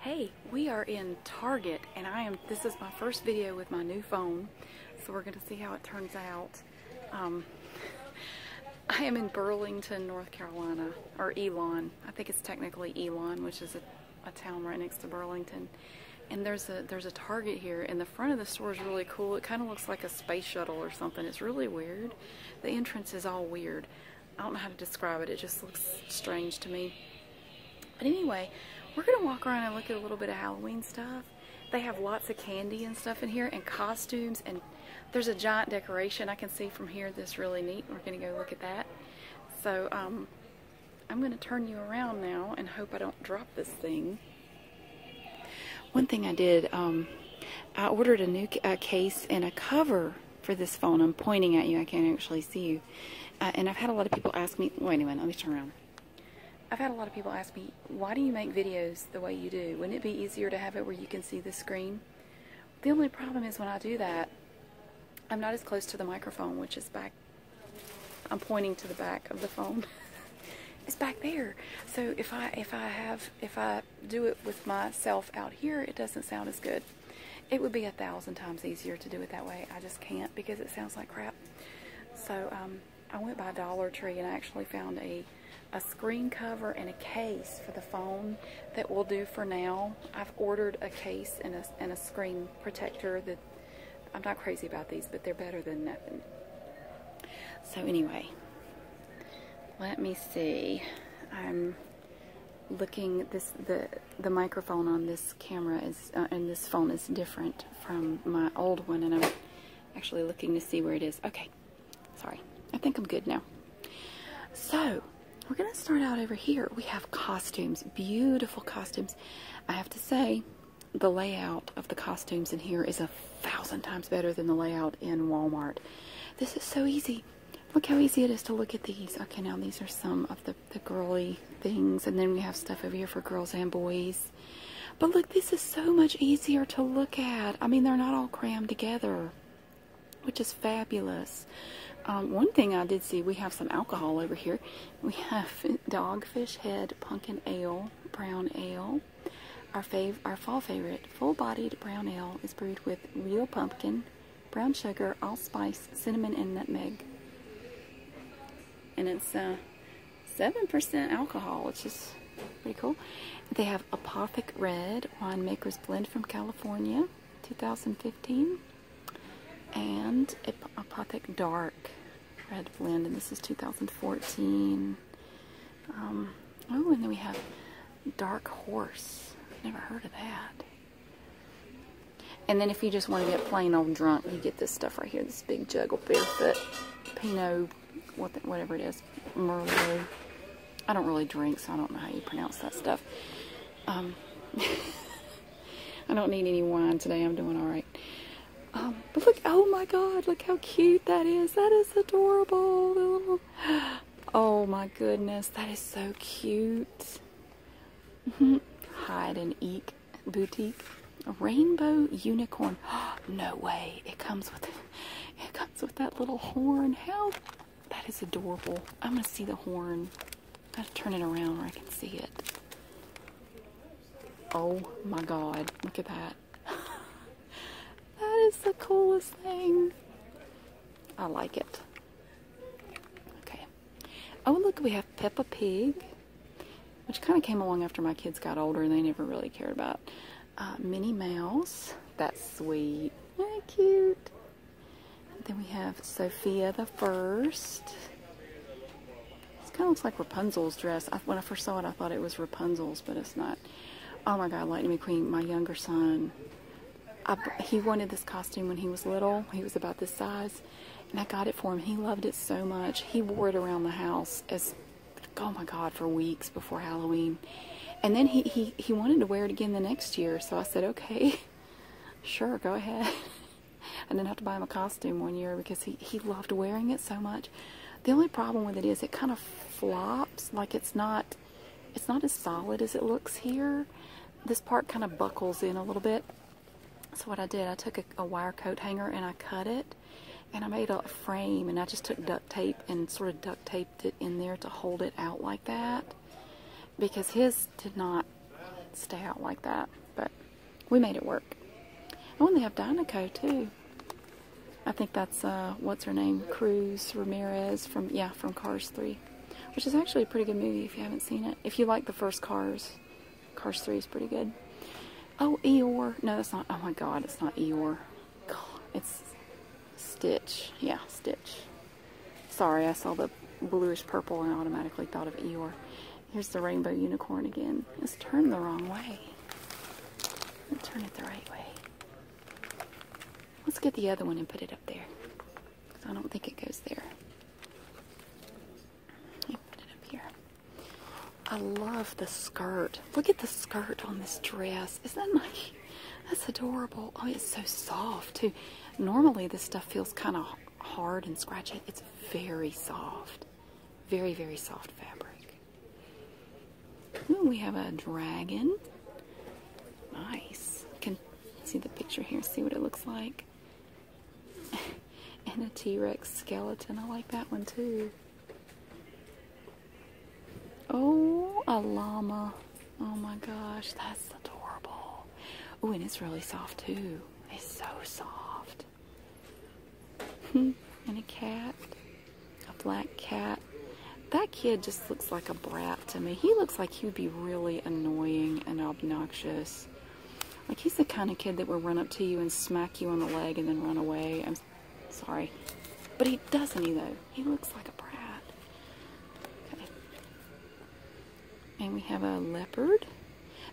Hey, we are in Target and I am, this is my first video with my new phone. So we're gonna see how it turns out. Um, I am in Burlington, North Carolina, or Elon. I think it's technically Elon, which is a town right next to Burlington. And there's a there's a Target here, and the front of the store is really cool. It kind of looks like a space shuttle or something. It's really weird. The entrance is all weird. I don't know how to describe it. It just looks strange to me. But anyway, we're going to walk around and look at a little bit of Halloween stuff. They have lots of candy and stuff in here and costumes and there's a giant decoration I can see from here that's really neat. We're going to go look at that. So um, I'm going to turn you around now and hope I don't drop this thing. One thing I did, um, I ordered a new uh, case and a cover for this phone. I'm pointing at you. I can't actually see you. Uh, and I've had a lot of people ask me, wait a minute, let me turn around. I've had a lot of people ask me, why do you make videos the way you do? Wouldn't it be easier to have it where you can see the screen? The only problem is when I do that, I'm not as close to the microphone, which is back. I'm pointing to the back of the phone. it's back there. So if I if I have if I do it with myself out here, it doesn't sound as good. It would be a thousand times easier to do it that way. I just can't because it sounds like crap. So um, I went by Dollar Tree and I actually found a a screen cover and a case for the phone that will do for now. I've ordered a case and a, and a screen protector that I'm not crazy about these, but they're better than nothing. So anyway, let me see. I'm looking this the the microphone on this camera is uh, and this phone is different from my old one, and I'm actually looking to see where it is. Okay, sorry. I think I'm good now. So we're gonna start out over here. We have costumes, beautiful costumes. I have to say, the layout of the costumes in here is a thousand times better than the layout in Walmart. This is so easy. Look how easy it is to look at these. Okay, now these are some of the, the girly things. And then we have stuff over here for girls and boys. But look, this is so much easier to look at. I mean, they're not all crammed together, which is fabulous. Um, one thing I did see, we have some alcohol over here. We have dogfish head pumpkin ale brown ale. Our, fall favorite, full-bodied brown ale, is brewed with real pumpkin, brown sugar, allspice, cinnamon, and nutmeg. And it's 7% uh, alcohol, which is pretty cool. They have Apothic Red Winemaker's Blend from California, 2015. And Apothic Dark Red Blend, and this is 2014. Um, oh, and then we have Dark Horse. Never heard of that. And then if you just want to get plain old drunk, you get this stuff right here. This big jug of Barefoot Pinot, whatever it is, Merlot. I don't really drink, so I don't know how you pronounce that stuff. Um, I don't need any wine today. I'm doing all right. Um, but look, oh my god, look how cute that is. That is adorable. Oh my goodness, that is so cute. Mm-hmm. Hide and Eek Boutique. rainbow unicorn. no way. It comes with it comes with that little horn. How that is adorable. I'm gonna see the horn. I gotta turn it around where I can see it. Oh my god, look at that. that is the coolest thing. I like it. Okay. Oh, look, we have Peppa Pig, which kind of came along after my kids got older and they never really cared about. Uh, Minnie Mouse. That's sweet. Very cute. Then we have Sophia the First. It kind of looks like Rapunzel's dress. when I first saw it, I thought it was Rapunzel's, but it's not. Oh my God, Lightning McQueen, my younger son. he wanted this costume when he was little. He was about this size, and I got it for him. He loved it so much. He wore it around the house as, oh my God, for weeks before Halloween. And then he, he, he wanted to wear it again the next year, so I said, okay, sure, go ahead. I didn't have to buy him a costume one year because he, he loved wearing it so much. The only problem with it is it kind of flops, like it's not it's not as solid as it looks here. This part kind of buckles in a little bit. So what I did, I took a, wire coat hanger and I cut it and I made a frame and I just took duct tape and sort of duct taped it in there to hold it out like that because his did not stay out like that. But we made it work. Oh, and they have Dynaco too. I think that's uh, what's her name, Cruz Ramirez from yeah from Cars 3, which is actually a pretty good movie if you haven't seen it. If you like the first Cars, Cars 3 is pretty good. Oh, Eeyore. No, that's not. Oh my God, it's not Eeyore. it's Stitch. Yeah, Stitch. Sorry, I saw the bluish purple and automatically thought of Eeyore. Here's the rainbow unicorn again. It's turned the wrong way. Let's turn it the right way. Let's get the other one and put it up there. I don't think it goes there. Put it up here. I love the skirt. Look at the skirt on this dress. Isn't that nice? That's adorable. Oh, it's so soft, too. Normally, this stuff feels kind of hard and scratchy. It's very soft. Very, very soft fabric we have a dragon. Nice. Can see the picture here, see what it looks like. and a T-Rex skeleton. I like that one too. Oh, a llama. Oh my gosh, that's adorable. Oh, and it's really soft too. It's so soft. Hmm, and a cat. A black cat. That kid just looks like a brat to me. He looks like he'd be really annoying and obnoxious. Like he's the kind of kid that will run up to you and smack you on the leg and then run away. I'm sorry. But he doesn't, either. He looks like a brat. And we have a leopard.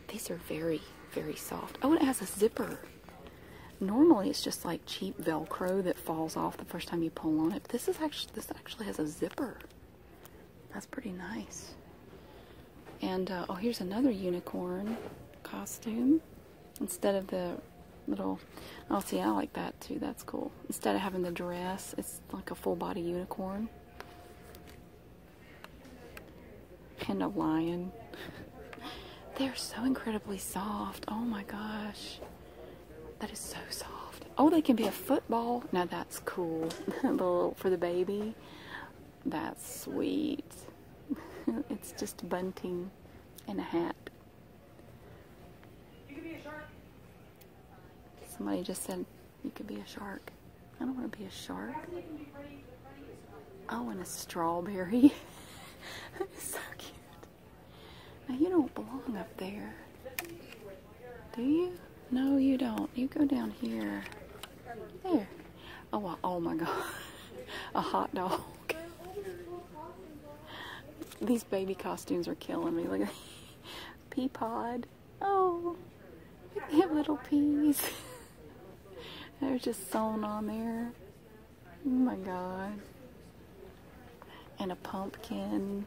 These are very, very soft. Oh, it has a zipper. Normally it's just like cheap Velcro that falls off the first time you pull on it. this is actually this actually has a zipper. That's pretty nice. And uh, oh, here's another unicorn costume instead of the little. Oh, see, I like that too. That's cool. Instead of having the dress, it's like a full body unicorn and a lion. They're so incredibly soft. Oh my gosh. That is so soft. Oh, they can be a football. Now that's cool. little for the baby. That's sweet. it's just bunting and a hat. Somebody just said you could be a shark. I don't want to be a shark. Oh, and a strawberry. that is so cute. Now, you don't belong up there. Do you? No, you don't. You go down here. There. Oh, oh my God. a hot dog. These baby costumes are killing me. Look at pea pod. Oh, look at little peas. They're just sewn on there. Oh my god. And a pumpkin.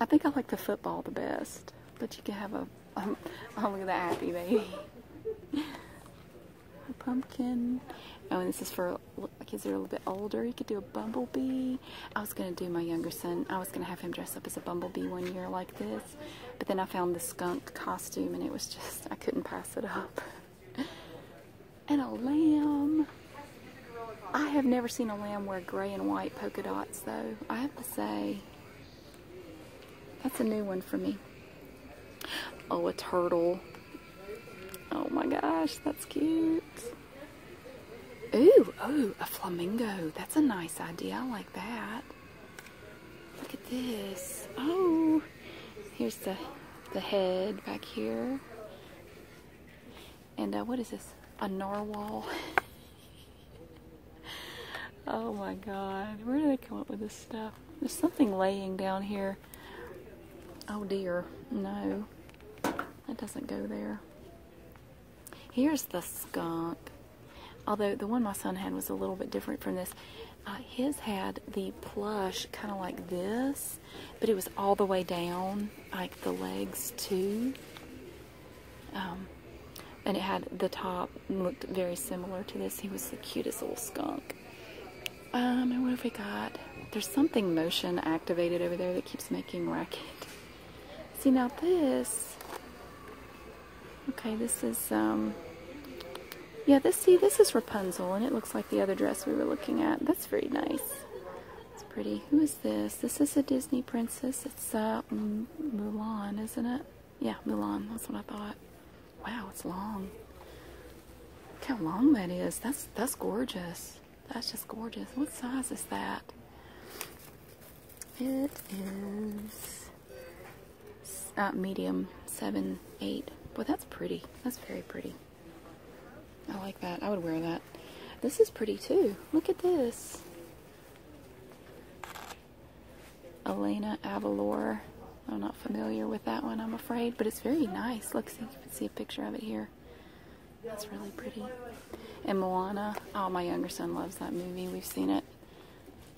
I think I like the football the best. But you can have a, um, oh look at that happy baby. a pumpkin. Oh, this is for kids that are a little bit older. You could do a bumblebee. I was going to do my younger son. I was going to have him dress up as a bumblebee one year like this. But then I found the skunk costume and it was just, I couldn't pass it up. And a lamb. I have never seen a lamb wear gray and white polka dots, though. I have to say, that's a new one for me. Oh, a turtle. Oh my gosh, that's cute. Ooh, ooh, a flamingo. That's a nice idea. I like that. Look at this. Oh, here's the, the head back here. And uh, what is this? A narwhal. oh my God. Where do they come up with this stuff? There's something laying down here. Oh dear. No. That doesn't go there. Here's the skunk. Although the one my son had was a little bit different from this. Uh, his had the plush kind of like this, but it was all the way down, like the legs too. Um, and it had the top looked very similar to this. He was the cutest little skunk. Um, and what have we got? There's something motion activated over there that keeps making racket. See now this. Okay, this is um, yeah, this, see, this is Rapunzel, and it looks like the other dress we were looking at. That's very nice. It's pretty. Who is this? This is a Disney princess. It's uh, Mulan, isn't it? Yeah, Mulan. That's what I thought. Wow, it's long. Look how long that is. That's, that's gorgeous. That's just gorgeous. What size is that? It is uh, medium, seven, eight. Boy, that's pretty. That's very pretty. I like that. I would wear that. This is pretty too. Look at this. Elena Avalor. I'm not familiar with that one, I'm afraid, but it's very nice. Look, see, you can see a picture of it here. That's really pretty. And Moana. Oh, my younger son loves that movie. We've seen it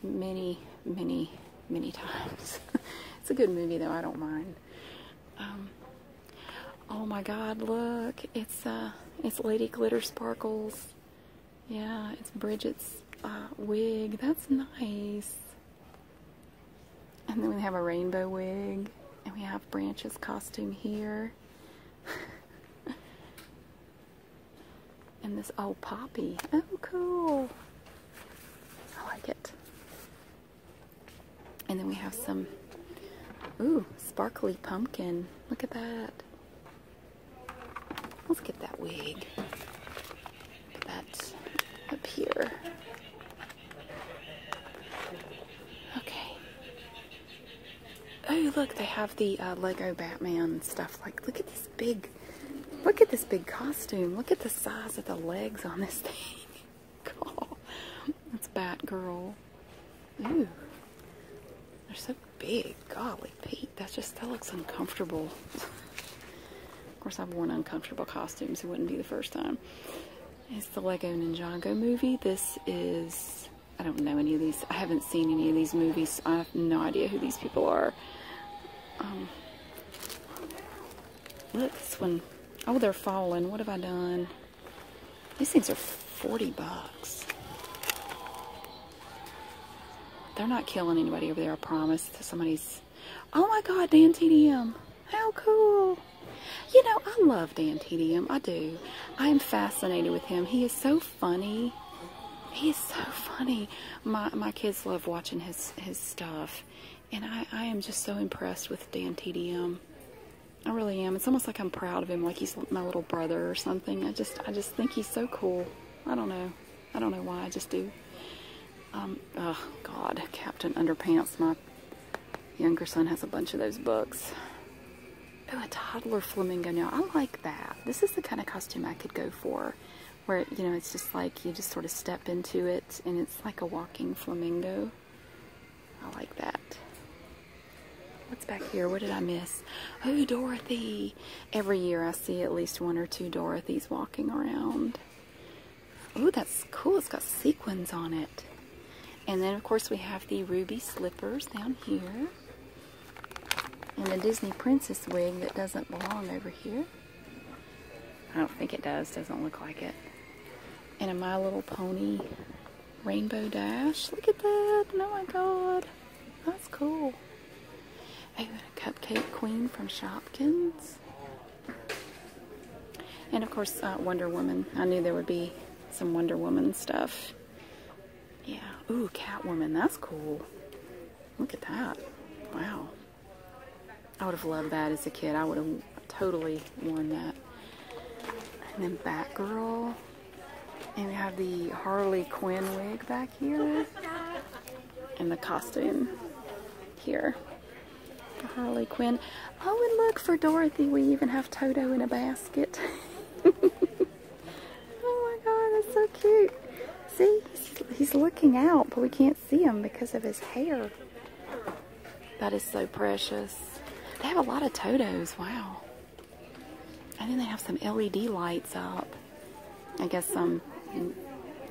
many, many many times. it's a good movie, though. I don't mind. Um, oh my God! Look, it's uh, it's Lady Glitter Sparkles. Yeah, it's Bridget's uh, wig. That's nice. And then we have a rainbow wig, and we have Branch's costume here. and this old oh, poppy. Oh, cool. I like it. And then we have some, ooh, sparkly pumpkin. Look at that. Let's get that wig. Put that up here. Okay. Oh, look, they have the uh, Lego Batman stuff. Like, look at this big look at this big costume. Look at the size of the legs on this thing. God, that's Batgirl. Ooh, they're so big. Golly, Pete, that just, that looks uncomfortable. of course, I've worn uncomfortable costumes. It wouldn't be the first time. It's the Lego Ninjago movie. This is, I don't know any of these. I haven't seen any of these movies. I have no idea who these people are. Um, Look, this one. Oh, they're falling. What have I done? These things are 40 bucks. They're not killing anybody over there, I promise. Somebody's... Oh my God, Dan TDM. How cool. You know, I love Dan TDM. I do. I am fascinated with him. He is so funny. He is so funny. My, my kids love watching his, his stuff. And I, am just so impressed with Dan TDM. I really am. It's almost like I'm proud of him, like he's my little brother or something. I just, I just think he's so cool. I don't know. I don't know why. I just do. Um, oh, God, Captain Underpants. My younger son has a bunch of those books. Oh, a toddler flamingo now. I like that. This is the kind of costume I could go for where you know it's just like you just sort of step into it and it's like a walking flamingo I like that what's back here what did I miss oh Dorothy every year I see at least one or two Dorothy's walking around oh that's cool it's got sequins on it and then of course we have the ruby slippers down here and the Disney princess wig that doesn't belong over here I don't think it does. Doesn't look like it. And a My Little Pony Rainbow Dash. Look at that. Oh my god. That's cool. Oh, and a Cupcake Queen from Shopkins. And of course, uh, Wonder Woman. I knew there would be some Wonder Woman stuff. Yeah. Ooh, Catwoman. That's cool. Look at that. Wow. I would have loved that as a kid. I would have totally worn that. And then Batgirl. And we have the Harley Quinn wig back here. And the costume here. Harley Quinn. Oh, and look, for Dorothy, we even have Toto in a basket. oh my god, that's so cute. See, he's looking out, but we can't see him because of his hair. That is so precious. They have a lot of todos. Wow. And then they have some LED lights up. I guess some,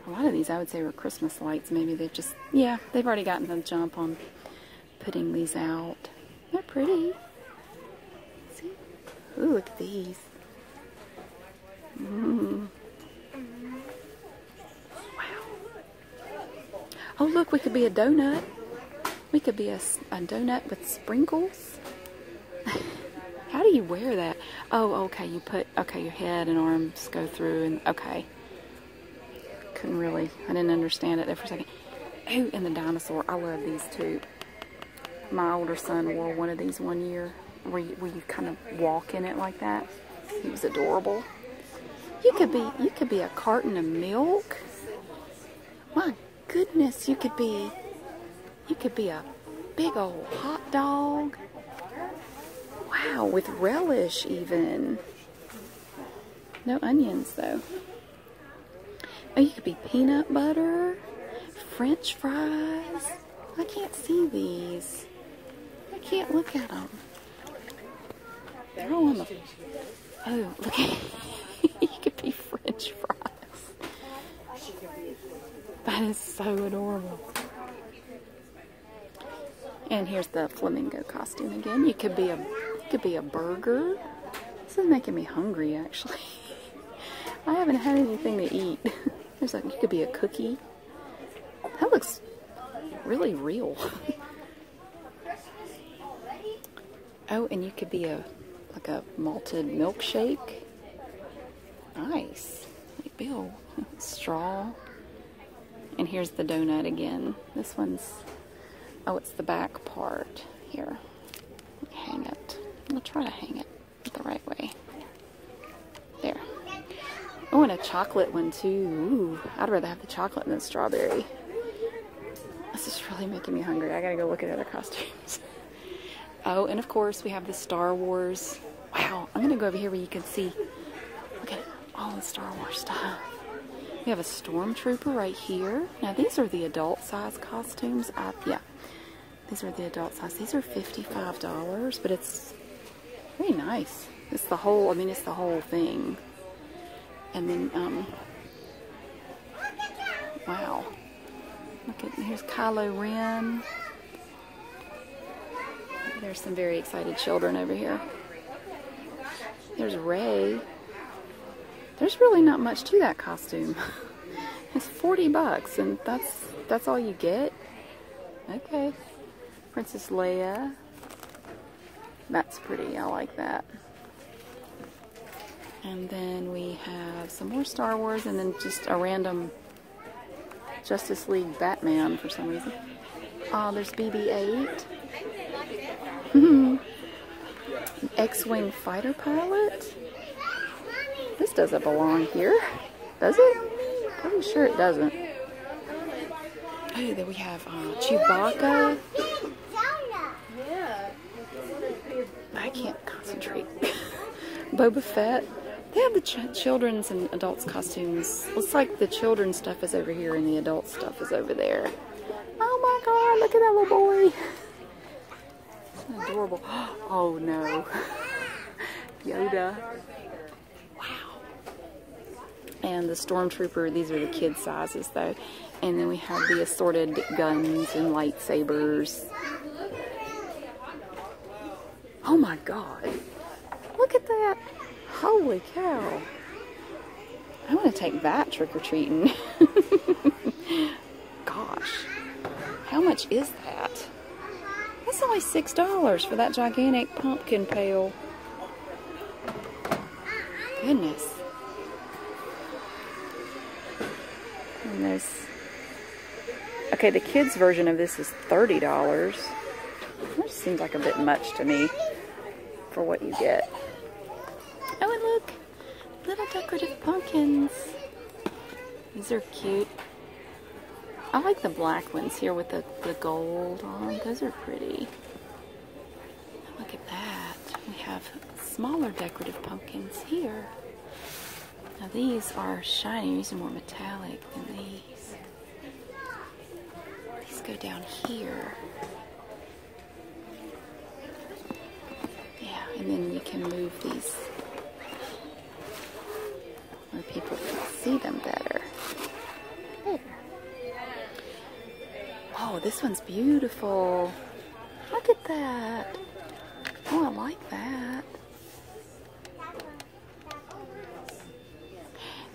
a lot of these I would say were Christmas lights. Maybe they just, yeah, they've already gotten the jump on putting these out. They're pretty. See? Ooh, look at these. Mm-hmm. Wow. Oh, look, we could be a donut. We could be a, donut with sprinkles. How do you wear that? Oh, okay, you put, okay, your head and arms go through and, okay. Couldn't really, I didn't understand it there for a second. Who oh, in the dinosaur, I love these two. My older son wore one of these one year where you kind of walk in it like that. He was adorable. You could be you could be a carton of milk. My goodness, you could be you could be a big old hot dog. Wow, with relish even. No onions though. Oh, you could be peanut butter, french fries. I can't see these. I can't look at them. Oh, look at. you could be French fries. That is so adorable. And here's the flamingo costume again. You could be a could be a burger. This is making me hungry actually. I haven't had anything to eat. There's like you could be a cookie. That looks really real. oh, and you could be a like a malted milkshake. Nice. Like Bill. Straw. And here's the donut again. This one's, oh, it's the back part here. Hang it. I'll try to hang it the right way. There. I oh, want a chocolate one too. Ooh, I'd rather have the chocolate than strawberry. This is really making me hungry. I gotta go look at other costumes. oh, and of course we have the Star Wars. Wow, I'm gonna go over here where you can see. Look at all the Star Wars stuff. We have a stormtrooper right here. Now these are the adult size costumes. I, yeah, these are the adult size. These are $55, but it's Pretty nice. It's the whole, I mean, it's the whole thing. And then, um, wow. Look at, here's Kylo Ren. There's some very excited children over here. There's Ray. There's really not much to that costume. it's 40 bucks and that's that's all you get. Okay. Princess Leia. That's pretty. I like that. And then we have some more Star Wars and then just a random Justice League Batman for some reason. Uh, there's BB-8. Hmm. X-Wing fighter pilot? This doesn't belong here. Does it? I'm sure it doesn't. Oh, there we have have uh, Chewbacca. I can't concentrate. Boba Fett. They have the children's and adults costumes. Looks like the children's stuff is over here and the adult stuff is over there. Oh my god, look at that little boy. adorable. Oh no. Yoda. Wow. And the Stormtrooper, these are the kid sizes though. And then we have the assorted guns and lightsabers. Oh my god. Look at that. Holy cow. I want to take that trick-or-treating. Gosh. How much is that? That's only $6 for that gigantic pumpkin peel. Goodness. there's... Okay, the kids' version of this is $30. Which seems like a bit much to me for what you get. Oh, and look! Little decorative pumpkins. These are cute. I like the black ones here with the, the gold on. Those are pretty. Look at that. We have smaller decorative pumpkins here. Now these are shiny, these are more metallic than these. These go down here. Yeah, and then we can move these where people can see them better. Oh, this one's beautiful. Look at that. Oh, I like that.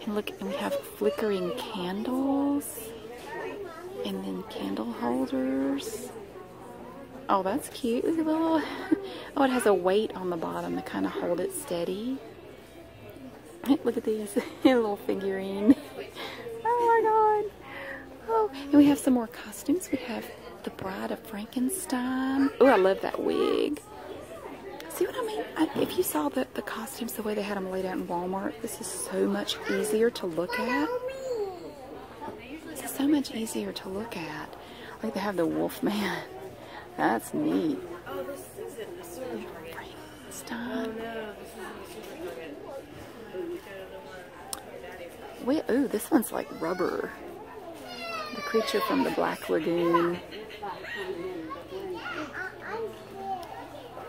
And look, we have flickering candles. And then candle holders. Oh, that's cute. little... Oh, it has a weight on the bottom to kind of hold it steady. Look at these little figurine. Oh my god. Oh, and we have some more costumes. We have the Bride of Frankenstein. Oh, I love that wig. See what I mean? if you saw the, the costumes, the way they had them laid out in Walmart, this is so much easier to look at. This is so much easier to look at. Like they have the wolf man. That's neat this isn't a super target. Stop. Oh no, this isn't super target. Wait, ooh, this one's like rubber. The creature from the Black Lagoon.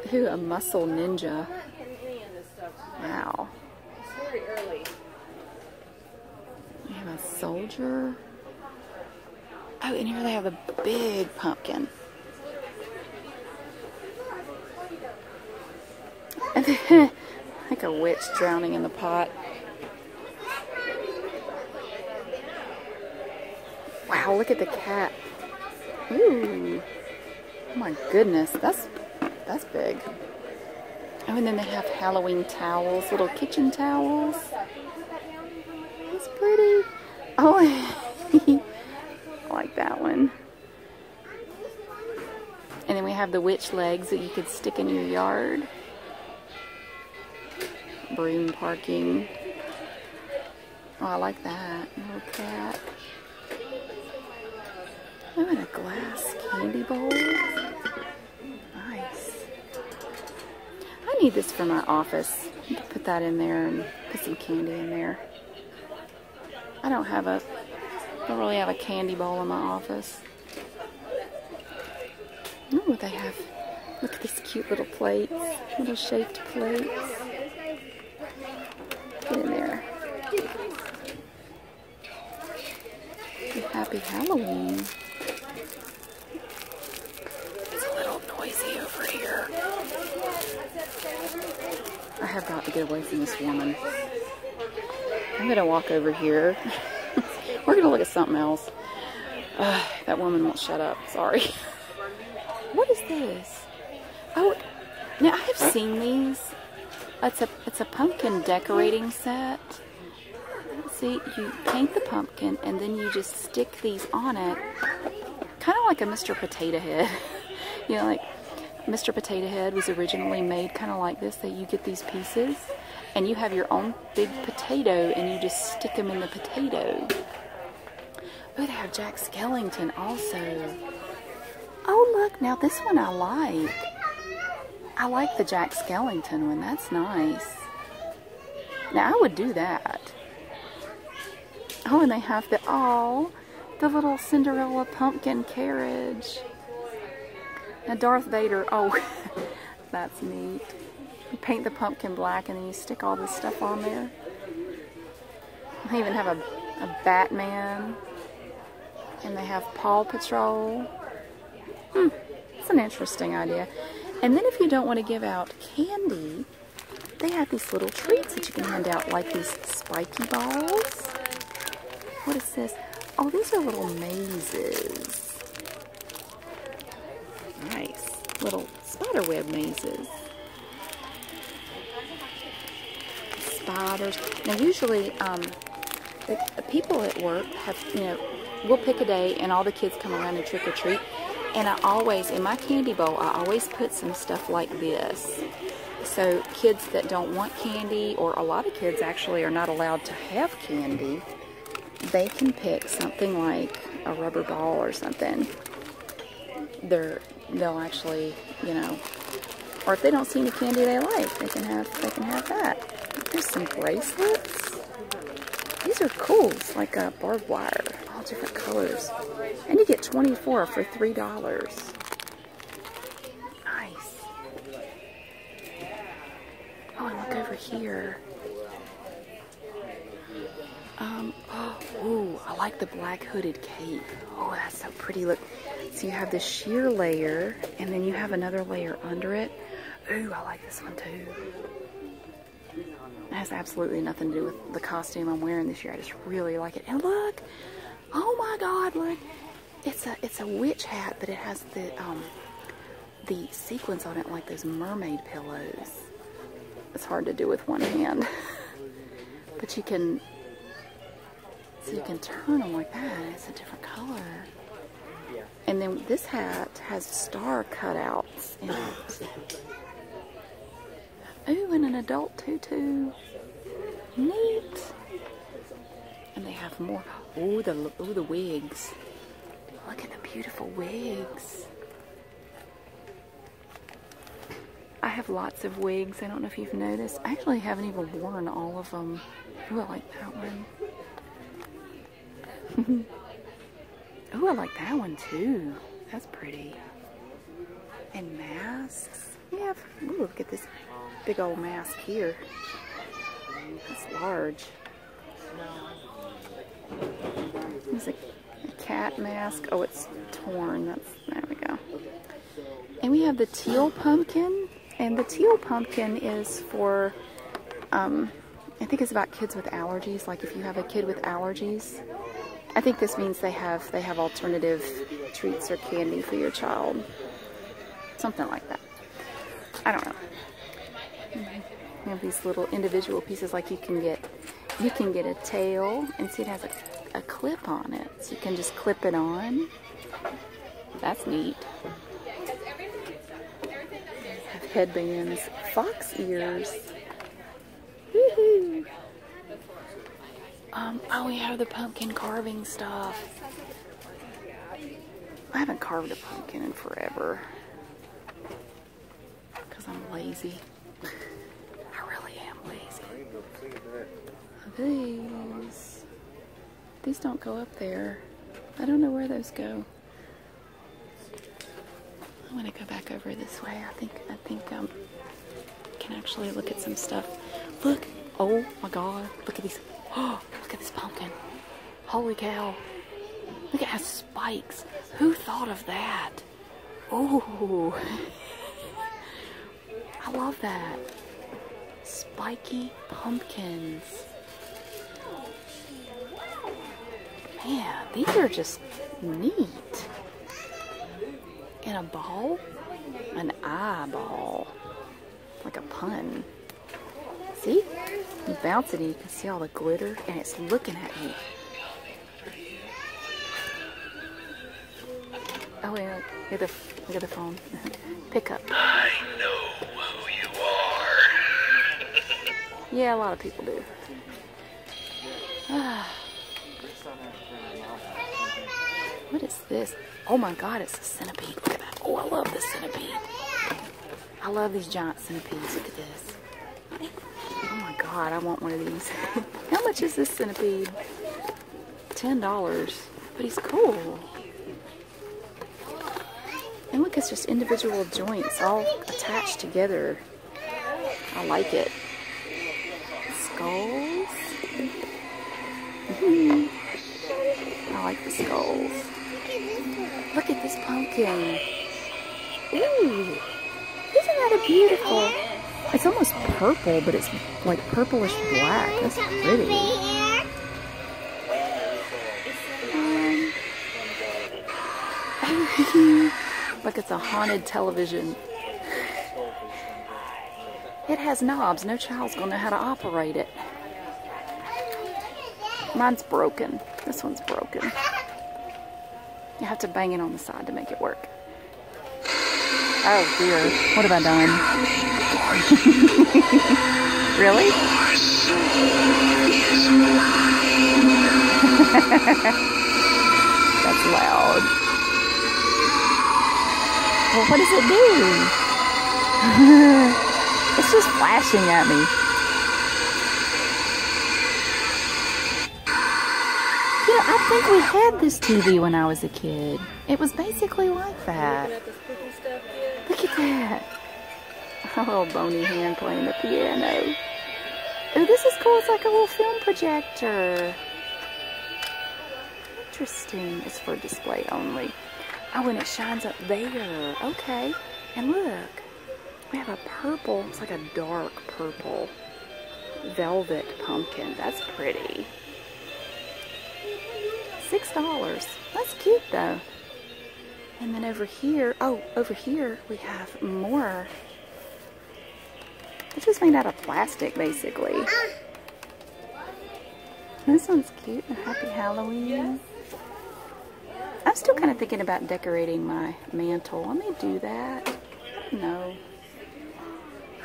Who, a muscle ninja. Wow. It's We have a soldier. Oh, and here they have a big pumpkin. like a witch drowning in the pot. Wow, look at the cat. Ooh. Oh my goodness, that's that's big. Oh, and then they have Halloween towels, little kitchen towels. That's pretty. Oh, I like that one. And then we have the witch legs that you could stick in your yard. Broom parking. Oh, I like that. Little cat. Oh, and a glass candy bowl. Nice. I need this for my office. put that in there and put some candy in there. I don't have a, I don't really have a candy bowl in my office. Oh, they have, look at these cute little plates, little shaped plates. Get in there. Happy Halloween. It's a little noisy over here. I have got to get away from this woman. I'm going to walk over here. We're going to look at something else. that woman won't shut up. Sorry. what is this? Oh, now I have seen these. It's a it's a pumpkin decorating set. See, you paint the pumpkin and then you just stick these on it kind of like a Mr. Potato Head. you know, like Mr. Potato Head was originally made kind of like this, that you get these pieces and you have your own big potato and you just stick them in the potato. Oh, would have Jack Skellington also. Oh, look, now this one I like. I like the Jack Skellington one. That's nice. Now, I would do that. Oh, and they have the, all the little Cinderella pumpkin carriage. Now Darth Vader, oh, that's neat. You paint the pumpkin black and then you stick all this stuff on there. They even have a, a Batman. And they have Paw Patrol. Hmm, it's an interesting idea. And then if you don't want to give out candy, they have these little treats that you can hand out, like these spiky balls. What is this? Oh, these are little mazes. Nice. Little spider web mazes. Spiders. Now, usually, um, people at work have, you know, we'll pick a day and all the kids come around and trick or treat. And I always, in my candy bowl, I always put some stuff like this. So kids that don't want candy, or a lot of kids actually are not allowed to have candy, they can pick something like a rubber ball or something. they they'll actually, you know, or if they don't see any candy they like, they can have, they can have that. There's some bracelets. These are cool. It's like a barbed wire all different colors. And you get 24 for $3. Nice. Oh, and look over here. Um, oh, ooh, I like the black hooded cape. Oh, that's so pretty. Look, so you have the sheer layer, and then you have another layer under it. Ooh, I like this one too. It has absolutely nothing to do with the costume I'm wearing this year. I just really like it. And look, oh my God, look. It's a, it's a witch hat, but it has the, um, the sequins on it like those mermaid pillows. It's hard to do with one hand. but you can, so you can turn them like that. It's a different color. And then this hat has star cutouts in it. Ooh, and an adult tutu. Neat. And they have more. Ooh, the oh the wigs. Look at the beautiful wigs. I have lots of wigs. I don't know if you've noticed. I actually haven't even worn all of them. Oh, I like that one. Ooh, I like that one too. That's pretty. And masks. Yeah. ooh, look at this big old mask here. It's large. It's a, cat mask. Oh, it's torn. That's, there we go. And we have the teal pumpkin. And the teal pumpkin is for, um, I think it's about kids with allergies. Like if you have a kid with allergies, I think this means they have they have alternative treats or candy for your child. Something like that. I don't know. these little individual pieces like you can get you can get a tail and see it has a, clip on it. So you can just clip it on. That's neat. headbands, fox ears. Um, oh, we have the pumpkin carving stuff. I haven't carved a pumpkin in forever. Because I'm lazy. I really am lazy. These. These don't go up there. I don't know where those go. I want to go back over this way. I think I think um, I can actually look at some stuff. Look! Oh my God! Look at these! Oh, look at this pumpkin! Holy cow! Look, at how spikes. Who thought of that? Oh, I love that. Spiky pumpkins. Man, these are just neat. In a ball? An eyeball. Like a pun. See? You bounce it and you can see all the glitter and it's looking at me. Oh, yeah. Look at the, look at the phone. Pick up. I know who you are. yeah, a lot of people do. what is this? Oh my god, it's a centipede. Oh, I love this centipede. I love these giant centipedes. Look at this. Oh my god, I want one of these. How much is this centipede? $10. But he's cool. And look, it's just individual joints all attached together. I like it. Skulls. Mm-hmm. I like the skulls. Look at this pumpkin. Ooh, isn't that a beautiful? It's almost purple, but it's like purplish black. That's pretty. Um, like it's a haunted television. It has knobs. No child's going to know how to operate it. Mine's broken. This one's broken. You have to bang it on the side to make it work. Oh dear. What have I done? really? That's loud. what does it do? it's just flashing at me. You I think we had this TV when I was a kid. It was basically like that. Look at that. A little bony hand playing the piano. Oh, this is cool. It's like a little film projector. Interesting. It's for display only. Oh, when it shines up there. Okay. And look, we have a purple. It's like a dark purple velvet pumpkin. That's pretty. Six dollars. That's cute though. And then over here, oh, over here we have more it's just made out of plastic, basically. This one's cute. and Happy Halloween. I'm still kind of thinking about decorating my mantle. Let me do that. I don't know.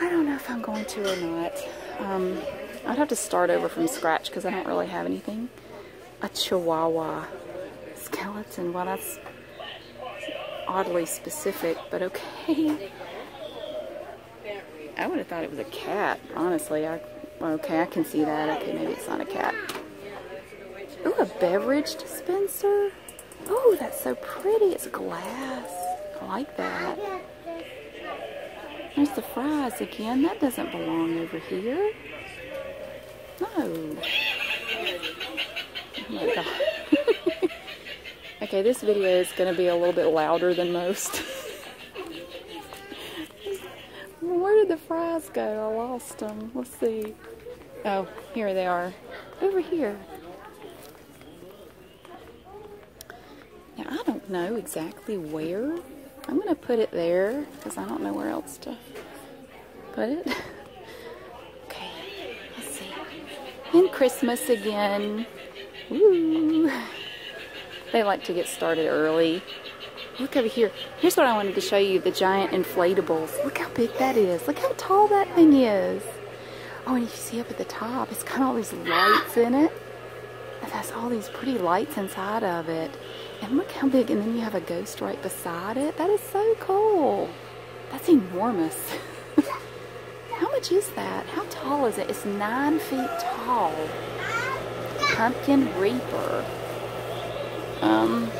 I don't know if I'm going to or not. Um, I'd have to start over from scratch because I don't really have anything. A chihuahua skeleton. What else? oddly specific, but okay. I would have thought it was a cat, honestly. I, okay, I can see that. Okay, maybe it's not a cat. Ooh, a beverage dispenser. Oh, that's so pretty. It's glass. I like that. There's the fries again. That doesn't belong over here. No. Oh Okay, this video is going to be a little bit louder than most. Where did the fries go? I lost them. Let's see. Oh, here they are. Over here. Now, I don't know exactly where. I'm going to put it there because I don't know where else to put it. Okay, let's see. And Christmas again. Woo! They like to get started early. Look over here. Here's what I wanted to show you, the giant inflatables. Look how big that is. Look how tall that thing is. Oh, and you see up at the top, it's got all these lights in it. It has all these pretty lights inside of it. And look how big, and then you have a ghost right beside it. That is so cool. That's enormous. How much is that? How tall is it? It's nine feet tall. Pumpkin Reaper. Um,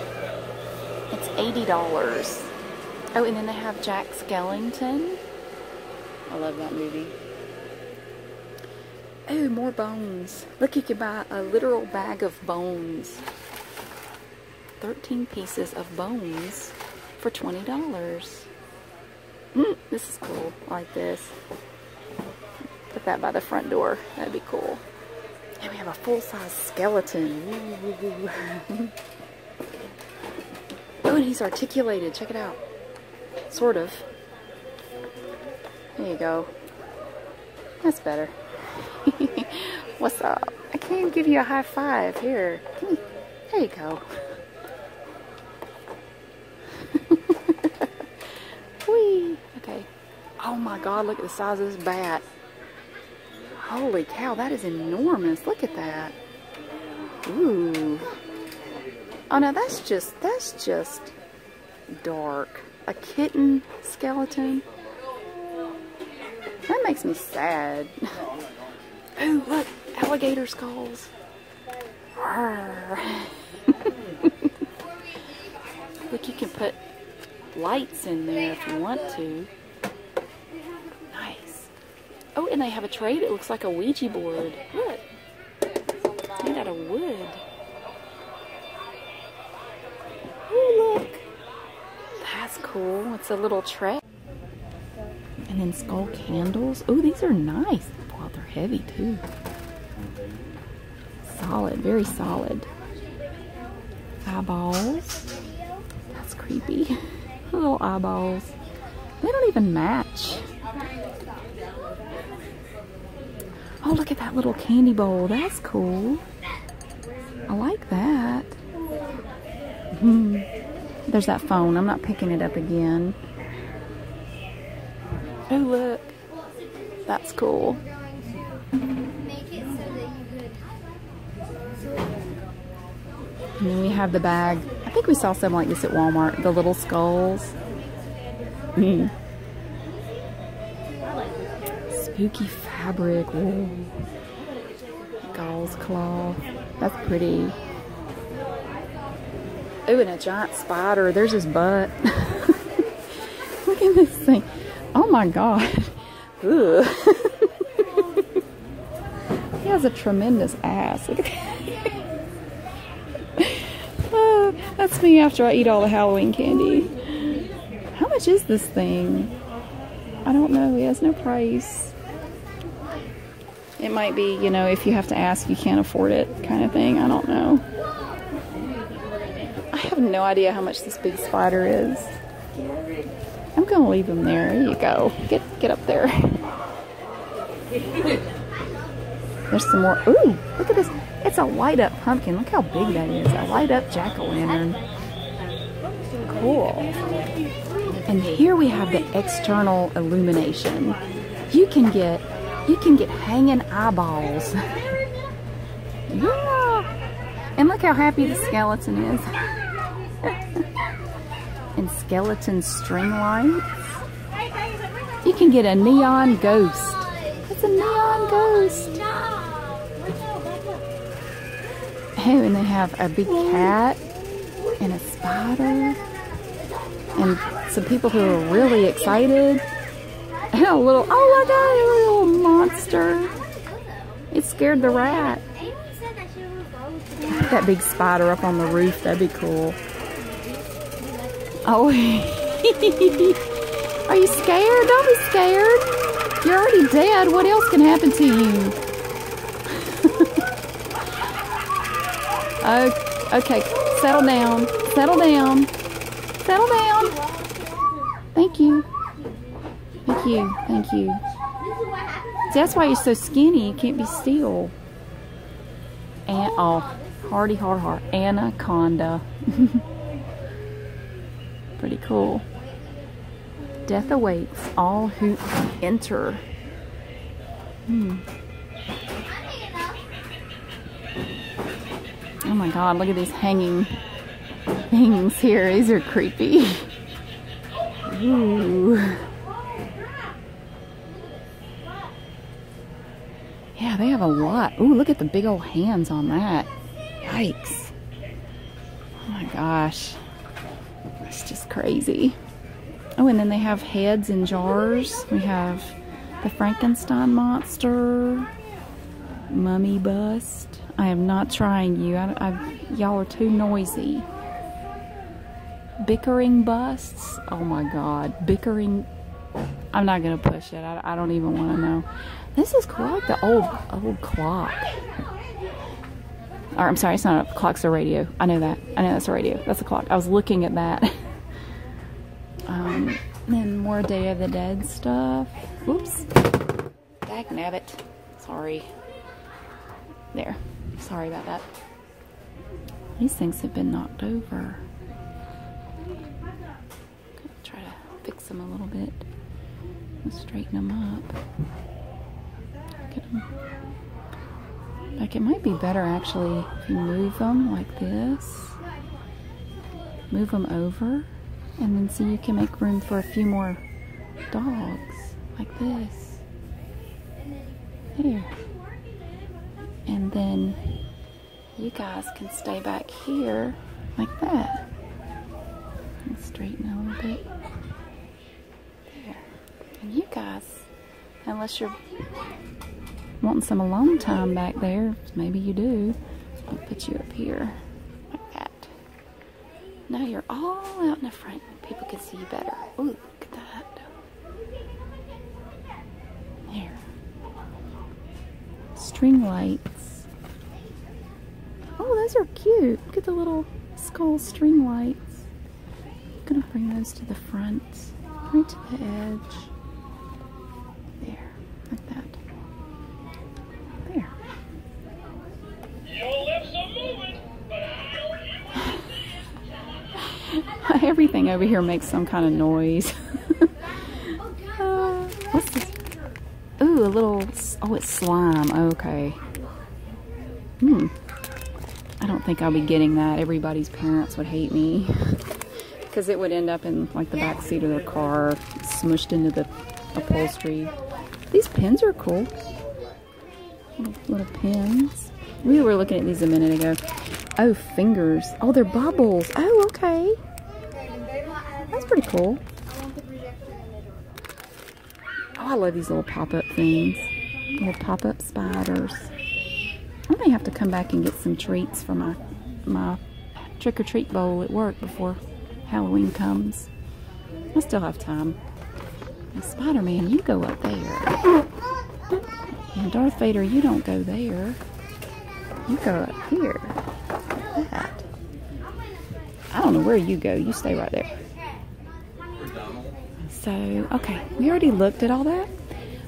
it's $80. Oh, and then they have Jack Skellington. I love that movie. Oh, more bones. Look, you can buy a literal bag of bones. 13 pieces of bones for $20. Mm, this is cool, like this. Put that by the front door, that'd be cool. And we have a full-size skeleton. oh, and he's articulated, check it out. Sort of. There you go. That's better. What's up? I can't give you a high five. Here. There you go. Whee! Okay. Oh my god, look at the size of this bat. Holy cow, that is enormous. Look at that. Ooh. Oh no, that's just, that's just dark. A kitten skeleton. That makes me sad. Oh, look, alligator skulls. look, you can put lights in there if you want to. Nice. Oh, and they have a tray that looks like a Ouija board. Look. Made out of wood. Oh, look. That's cool. It's a little tray. And then skull candles. Oh, these are nice. Wow, they're heavy too. Solid, very solid. Eyeballs. That's creepy. Little eyeballs. They don't even match. Oh, look at that little candy bowl. That's cool. I like that. Hmm. There's that phone. I'm not picking it up again. Oh, look. That's cool. And then we have the bag. I think we saw some like this at Walmart. The little skulls. Mm. Spooky fabric. Gauze claw. That's pretty. Ooh, and a giant spider. There's his butt. Look at this thing. Oh my god. he has a tremendous ass. oh, that's me after I eat all the Halloween candy. How much is this thing? I don't know. He has no price. It might be, you know, if you have to ask, you can't afford it kind of thing. I don't know. I have no idea how much this big spider is. I'm gonna leave him there. you go. Get get up there. There's some more. Ooh, look at this. It's a light up pumpkin. Look how big that is. A light up jack o' lantern. Cool. And here we have the external illumination. You can get you can get hanging eyeballs. yeah. And look how happy the skeleton is. and skeleton string lights. You can get a neon ghost. It's a neon ghost. Oh, and they have a big cat and a spider and some people who are really excited and a little, oh my god, a little monster. It scared the rat. That big spider up on the roof, that'd be cool. Oh, are you scared? Don't be scared. You're already dead. What else can happen to you? Oh, okay. Settle down. Settle down. Settle down. Thank you. Thank you. Thank you. That's why you're so skinny. You can't be still. And oh, hearty hard heart. Anaconda. Pretty cool. Death awaits all who enter. Hmm. Oh my god, look at these hanging things here. These are creepy. Ooh. Yeah, they have a lot. Ooh, look at the big old hands on that. Yikes. Oh my gosh. It's just crazy. Oh, and then they have heads in jars. We have the Frankenstein monster, mummy bust. I am not trying you. I, y'all are too noisy. Bickering busts. Oh my God. Bickering. I'm not gonna push it. I, don't even want to know. This is clock. The old old clock. Or I'm sorry, it's not a clock's a radio. I know that. I know that's a radio. That's a clock. I was looking at that. um, and more Day of the Dead stuff. Oops. Dag nabbit. Sorry. There. Sorry about that. These things have been knocked over. Try to fix them a little bit. Straighten them up. Like it might be better actually if you move them like this. Move them over and then see you can make room for a few more dogs like this. There. And then you guys can stay back here like that. And straighten a little bit. And you guys, unless you're wanting some alone time back there, maybe you do, I'll put you up here like that. Now you're all out in the front. People can see you better. Ooh, look at that. There. String lights. Oh, those are cute. Look at the little skull string lights. I'm gonna bring those to the front, right to the edge. There, like that. There. Everything over here makes some kind of noise. Uh, what's this? Ooh, a little, oh, it's slime. Okay. Hmm. I don't think I'll be getting that. Everybody's parents would hate me because it would end up in like the back seat of their car, smushed into the upholstery. These pins are cool. Little, little pins. We were looking at these a minute ago. Oh, fingers. Oh, they're bubbles. Oh, okay. That's pretty cool. Oh, I love these little pop-up things. Little pop-up spiders. I may have to come back and get some treats for my, my trick-or-treat bowl at work before Halloween comes. I still have time. Spider-Man, you go up there. And Darth Vader, you don't go there. You go up here. I don't know where you go. You stay right there. So, okay, we already looked at all that.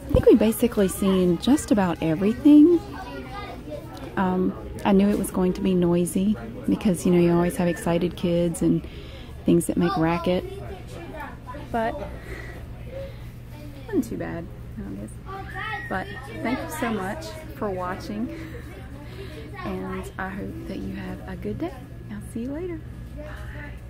I think we basically seen just about everything. Um, I knew it was going to be noisy because, you know, you always have excited kids and things that make racket. But, wasn't too bad. But thank you so much for watching. And I hope that you have a good day. I'll see you later. Bye.